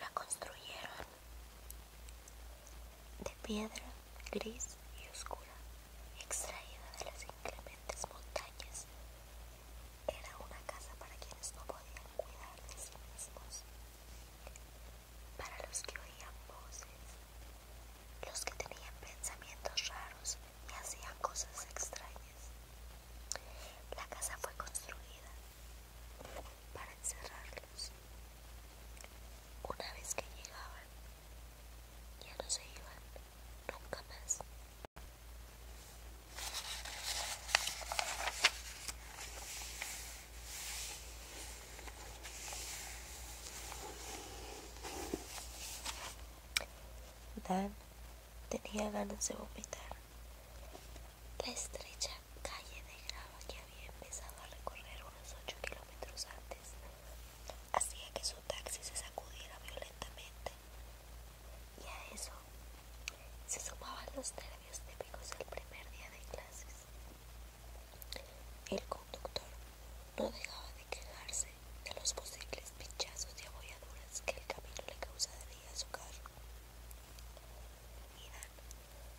La construyeron de piedra gris y oscura, extraída de las inclementes montañas. Era una casa para quienes no podían cuidar de sí mismos, para los que oían voces, los que tenían pensamientos raros y hacía cosas extrañas. La casa fue construida para encerrarlos. Una vez que llegaban, ya no se iban nunca más. Dan Tenía ganas de vomitar. La estrecha calle de grava que había empezado a recorrer unos 8 kilómetros antes hacía que su taxi se sacudiera violentamente. Y a eso se sumaban los nervios típicos del primer día de clases. El conductor no dejaba de quejarse de los posibles pinchazos y abolladuras que el camino le causaría a su carro.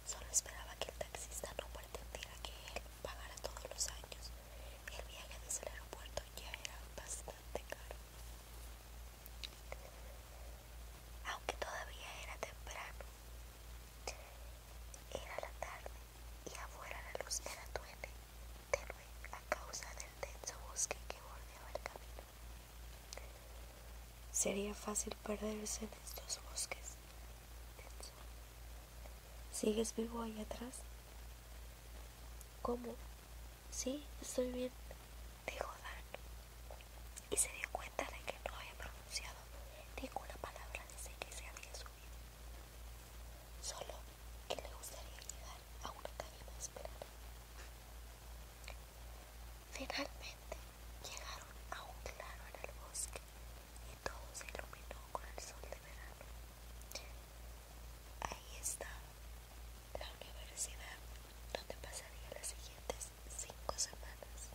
solo esperaba que el taxista no pretendiera que él pagara todos los años. El viaje desde el aeropuerto ya era bastante caro. Aunque todavía era temprano, era la tarde y afuera la luz era tuene, tenue a causa del denso bosque que bordeaba el camino. Sería fácil perderse en estos bosques. ¿Sigues vivo ahí atrás? ¿Cómo? Sí, estoy bien, dijo Dan, y se dio cuenta de que no había pronunciado ninguna palabra desde que se había subido. Solo que le gustaría llegar a una cabina más Finalmente llegaron a un claro en el bosque y todo se iluminó con el sol de verano. Ahí está la universidad donde pasaría las siguientes cinco semanas.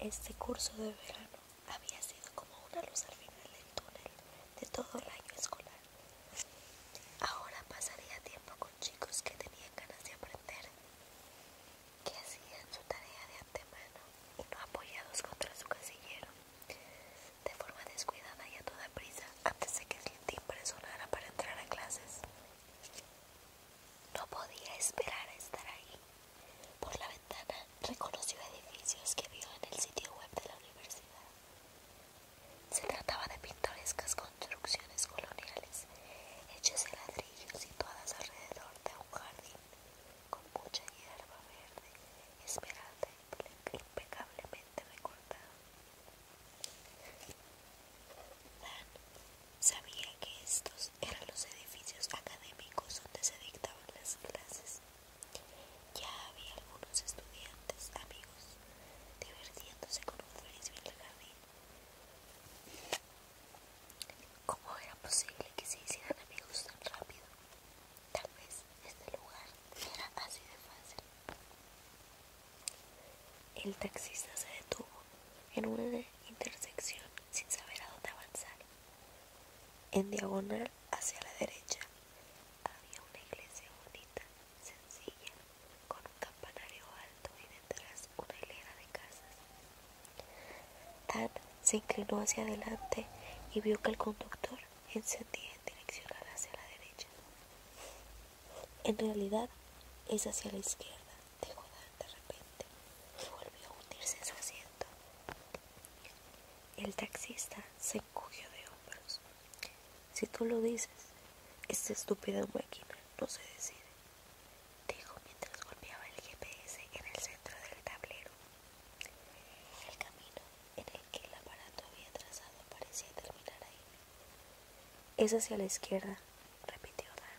Este curso de verano había sido como una luz al final del túnel de todo el año escolar. Ahora pasaría tiempo con chicos que tenían ganas de aprender, que hacían su tarea de antemano y no apoyados contra su casillero, de forma descuidada y a toda prisa antes de que el timbre sonara para entrar a clases. No podía esperar a estar ahí. Por la ventana reconoció edificios que vio en el sitio web de la universidad. Se trataba de pintorescas construcciones coloniales, hechas de ladrillo, situadas alrededor de un jardín con mucha hierba verde, esmeralda y impecablemente recortada. Sabía que estos eran los edificios académicos donde se dictaban las clases. Ya había algunos estudiantes, amigos, divirtiéndose con un frisbee en la jardín. ¿Cómo era posible que se hicieran amigos tan rápido? Tal vez este lugar era así de fácil. El taxista se detuvo en una intersección sin saber a dónde avanzar. En diagonal hacia la derecha había una iglesia bonita, sencilla, con un campanario alto y detrás una hilera de casas. Tad se inclinó hacia adelante y vio que el conductor encendía en dirección hacia la derecha. En realidad es hacia la izquierda, dijo de repente, y volvió a hundirse en su asiento. El taxista se encogió de hombros. Si tú lo dices, esta estúpida máquina no se decide, dijo mientras golpeaba el GPS en el centro del tablero. El camino en el que el aparato había trazado parecía terminar ahí. Es hacia la izquierda, repitió Dan,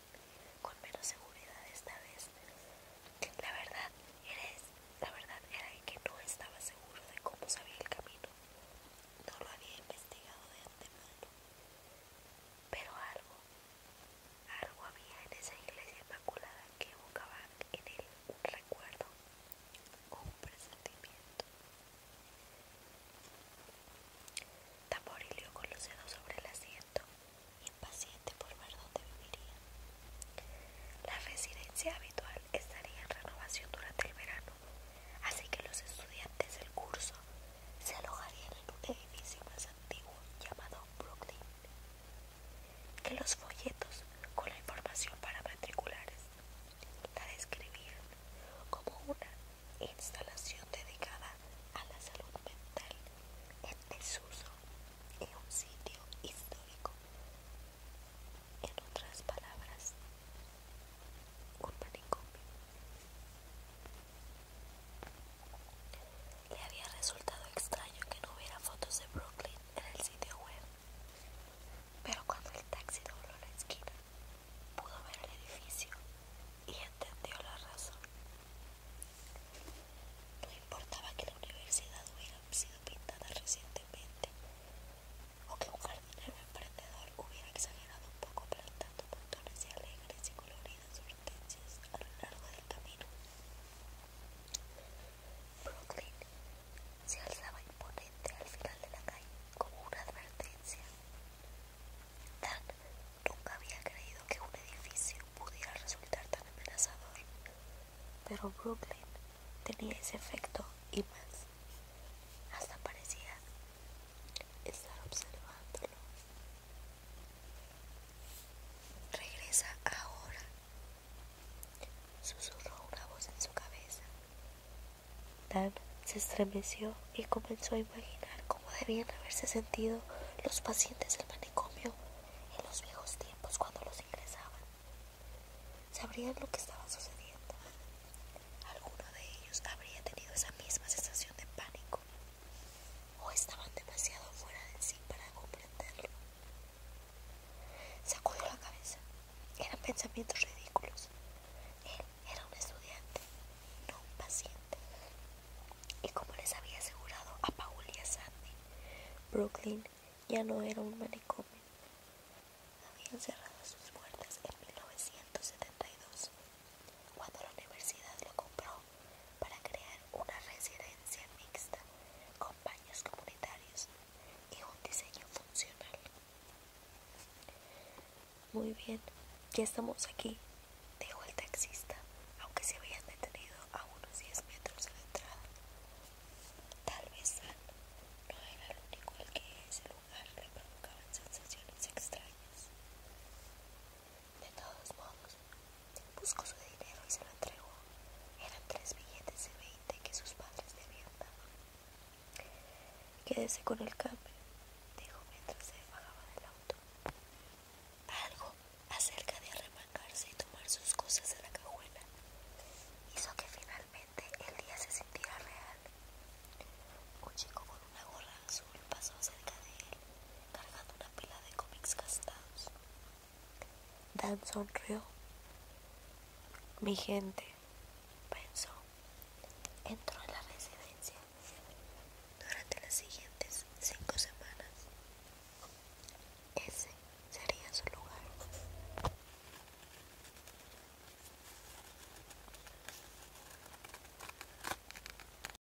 con menos seguridad esta vez. La verdad, era que no estaba seguro de cómo sabía el camino. No lo había investigado de antemano. Pero algo, algo había en esa iglesia inmaculada que evocaba en él un recuerdo un presentimiento. Tamborileó con los dedos sobre el asiento, impaciente por ver dónde viviría. La residencia habitual estaría en renovación durante el verano, así que los estudiantes del curso se alojarían en un edificio más antiguo llamado Brooklyn. Que los folletos con la información para matriculares la describían como una instalación dedicada a la salud mental en desuso en un sitio histórico. En otras palabras, un manicomio. Le había resultado extraño que no hubiera fotos de Brooklyn en el sitio web. Pero cuando el taxi dobló la esquina, pudo ver el edificio y entendió la razón. No importaba que la universidad hubiera sido pintada recientemente o que un jardinero emprendedor hubiera exagerado un poco tanto montones y alegres y coloridas hortensias a lo largo del camino. Brooklyn se alzaba imponente al final de la calle como una advertencia. Dan nunca había creído que un edificio pudiera resultar tan amenazador, pero Brooklyn tenía ese efecto y más. Hasta parecía estar observándolo. Regresa ahora, Susurró una voz en su cabeza. Dan se estremeció y comenzó a imaginar cómo debían haberse sentido los pacientes del manicomio en los viejos tiempos cuando los ingresaban. Sabrían lo que estaba sucediendo. Alguno de ellos habría tenido esa misma sensación de pánico o estaban demasiado fuera de sí para comprenderlo. Sacudió la cabeza. Eran pensamientos ridículos. Él era un estudiante, no un paciente. Y como les había asegurado a Paul y a Sandy, Brooklyn ya no era un manicomio. Habían cerrado sus puertas en 1972, cuando la universidad lo compró para crear una residencia mixta con baños comunitarios y un diseño funcional. Muy bien, ya estamos aquí, dijo el taxista, aunque se habían detenido a unos 10 metros de la entrada. Tal vez no era el único al que ese lugar le provocaban sensaciones extrañas. De todos modos, buscó su dinero y se lo entregó. Eran tres billetes de veinte que sus padres le habían dado. Quédese con el cambio, dijo mientras se bajaba del auto. Algo acerca de arremangarse y tomar sus cosas de la cajuela hizo que finalmente el día se sintiera real. Un chico con una gorra azul pasó cerca de él cargando una pila de cómics gastados. Dan sonrió. Mi gente, pensó, entró en la residencia durante las siguientes cinco semanas. Ese sería su lugar.